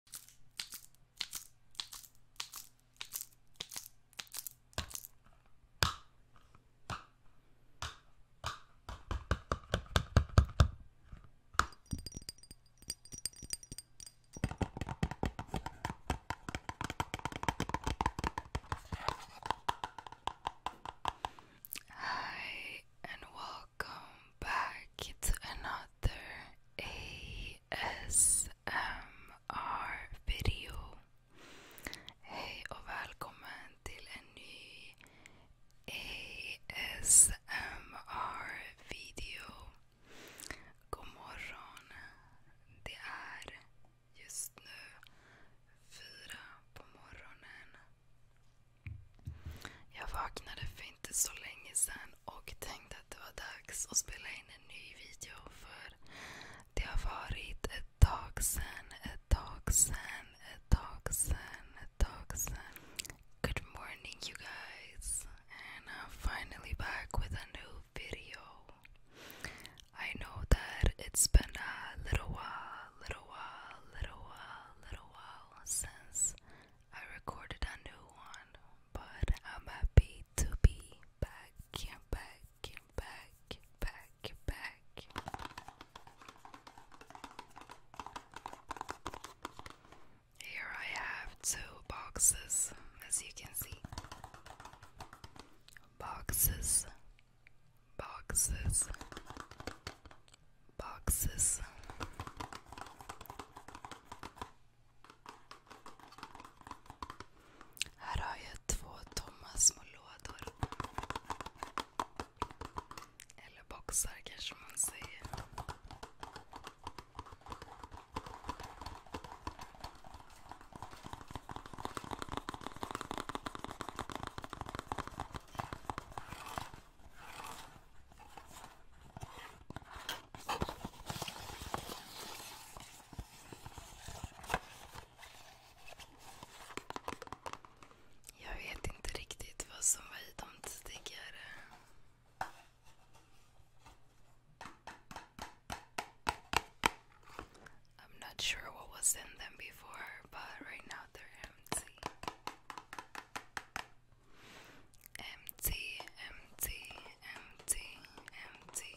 Hi and welcome back to another ASMR video. Hej och välkommen till en ny ASMR video. God morgon. Det är just nu fyra på morgonen. Jag vaknade för inte så länge sedan och tänkte att det var dags att spela in en ny video för det har varit ett tag sedan, ett tag sedan, ett tag sedan, ett tag sedan. Good morning you guys and I'm finally back with a new video. I know that it's been a little while, little while, little while, little while since I recorded a new one, but I'm happy to be back, back, back, back, back. Here I have two boxes, as you can see. Boxes, boxes, boxes. Här har jag två tomma små lådor. Eller boxar kanske man säger. Jag vet inte riktigt vad som var i dem tidigare. I'm not sure what was in them before, but right now they're empty. Empty, empty, empty, empty.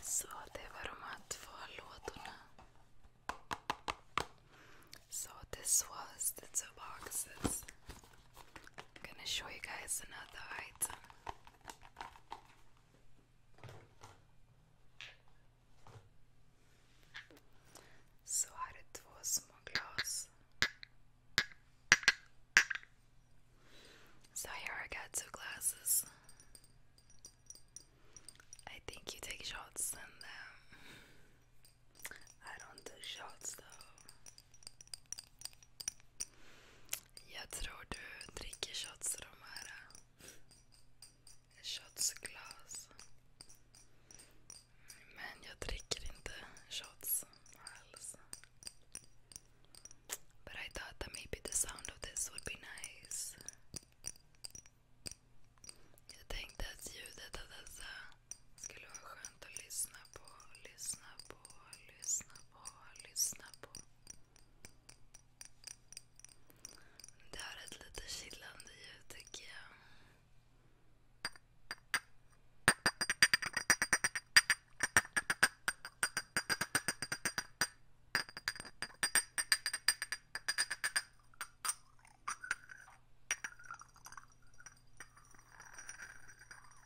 Så det var de här två So this was the two boxes I'm gonna show you guys another item. Så här är två små So here I got two glasses. I think you take shots in them. I don't do shots though. Jag tror du dricker shots ur eh, Shotsglas. Men jag dricker inte shots alls. But I thought that maybe the sound of this would be nice. Jag tänkte att ljudet av dessa skulle vara skönt att lyssna på, lyssna på, lyssna på, lyssna på. Det har ett lite chillande ljud tycker jag.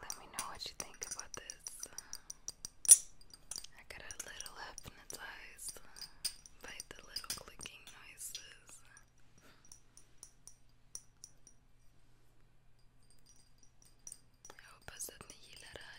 Let me know what you think about this. I got a little hypnotized by the little clicking noises. Jag hoppas att ni gillar det här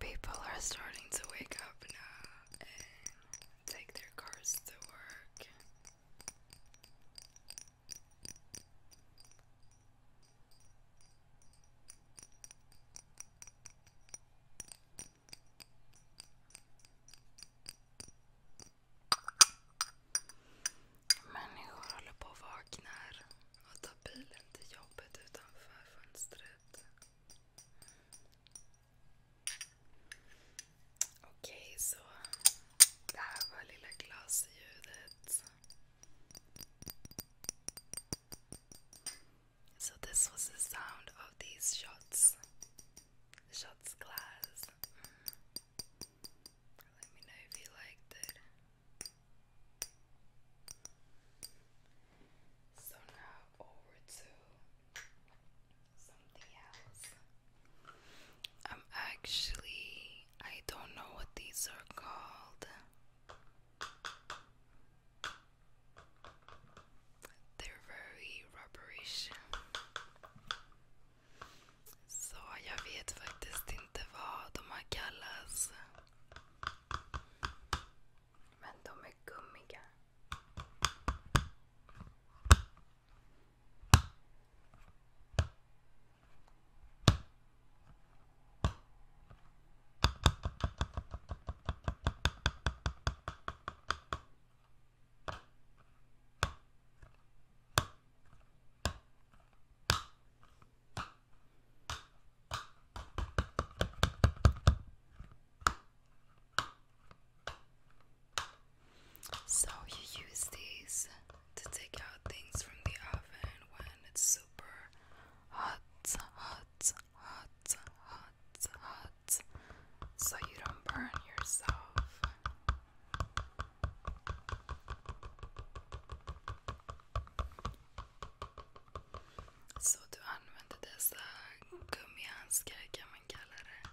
People are starting to wake up now and take their cars to work. Människor håller på och vaknar och tar bilen till jobbet utanför fönstret. Okej, så det här var lilla glasljudet. So this was the sound of these shots. shots glass. Let me know if you liked it. So now over to something else. I'm actually I don't know what these are called. They're very rubberish. Så jag vet faktiskt inte vad de har kallats. Men de är gummiga. So, you use these to take out things from the oven when it's super hot, hot, hot, hot, hot, so you don't burn yourself. Så du använder dessa gummihandskar kan man kalla det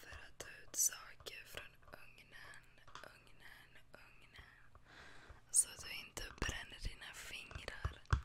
för att ta ut saker från ugnen, ugnen, ugnen. Så att du inte bränner dina fingrar.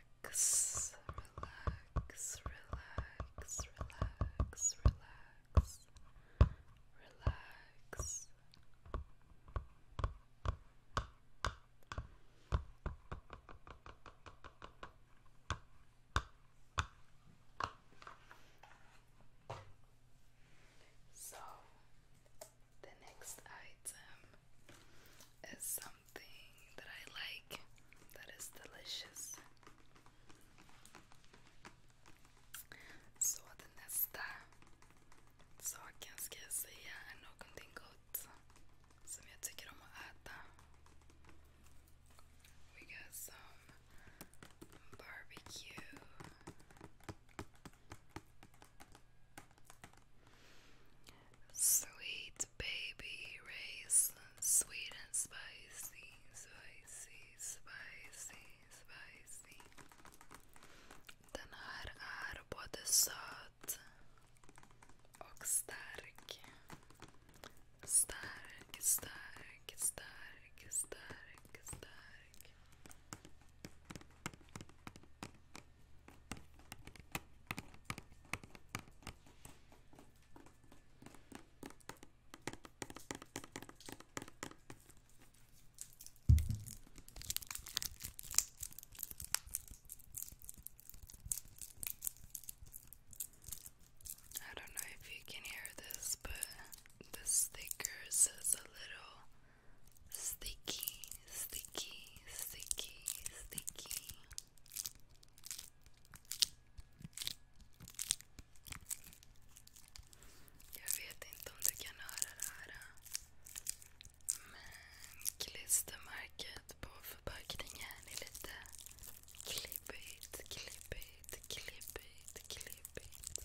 relax, relax, relax, relax, relax, relax. So the next item is some something that I like that is delicious. Så det nästa saken ska säga är någonting gott som jag tycker om att äta. We got some barbecue. Sweet baby raisin, sweet and spicy, spicy, spicy, spicy. Den här är både söt och stark. Stark, stark, stark, stark, stark. I don't know if you can hear this, but the sticker says a little Sticky, sticky, sticky, sticky. Jag vet inte om du kan höra det här. Men klistermärket på förpackningen är lite klibbigt, klibbigt, klibbigt, klibbigt.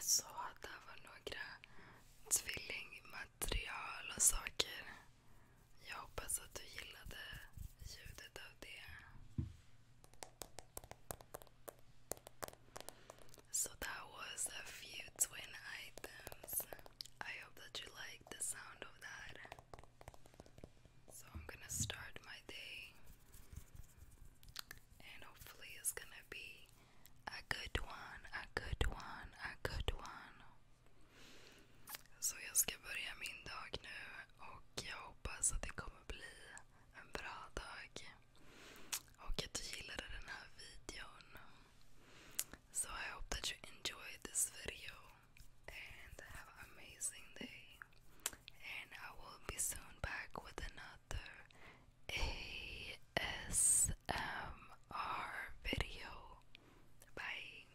Så det var några tvillingmaterial och saker. Jag hoppas att du gillade ljudet av det. So that was a few twin items. I hope that you like the sound of that. So I'm gonna start my day, and hopefully, it's gonna be a good one, a good one, a good one. Så jag ska börja min dag nu. Och jag hoppas att det kommer bli en bra dag. Och att du gillade den här videon. So I hope that you enjoyed this video. And have an amazing day. And I will be soon back with another ASMR video. Bye.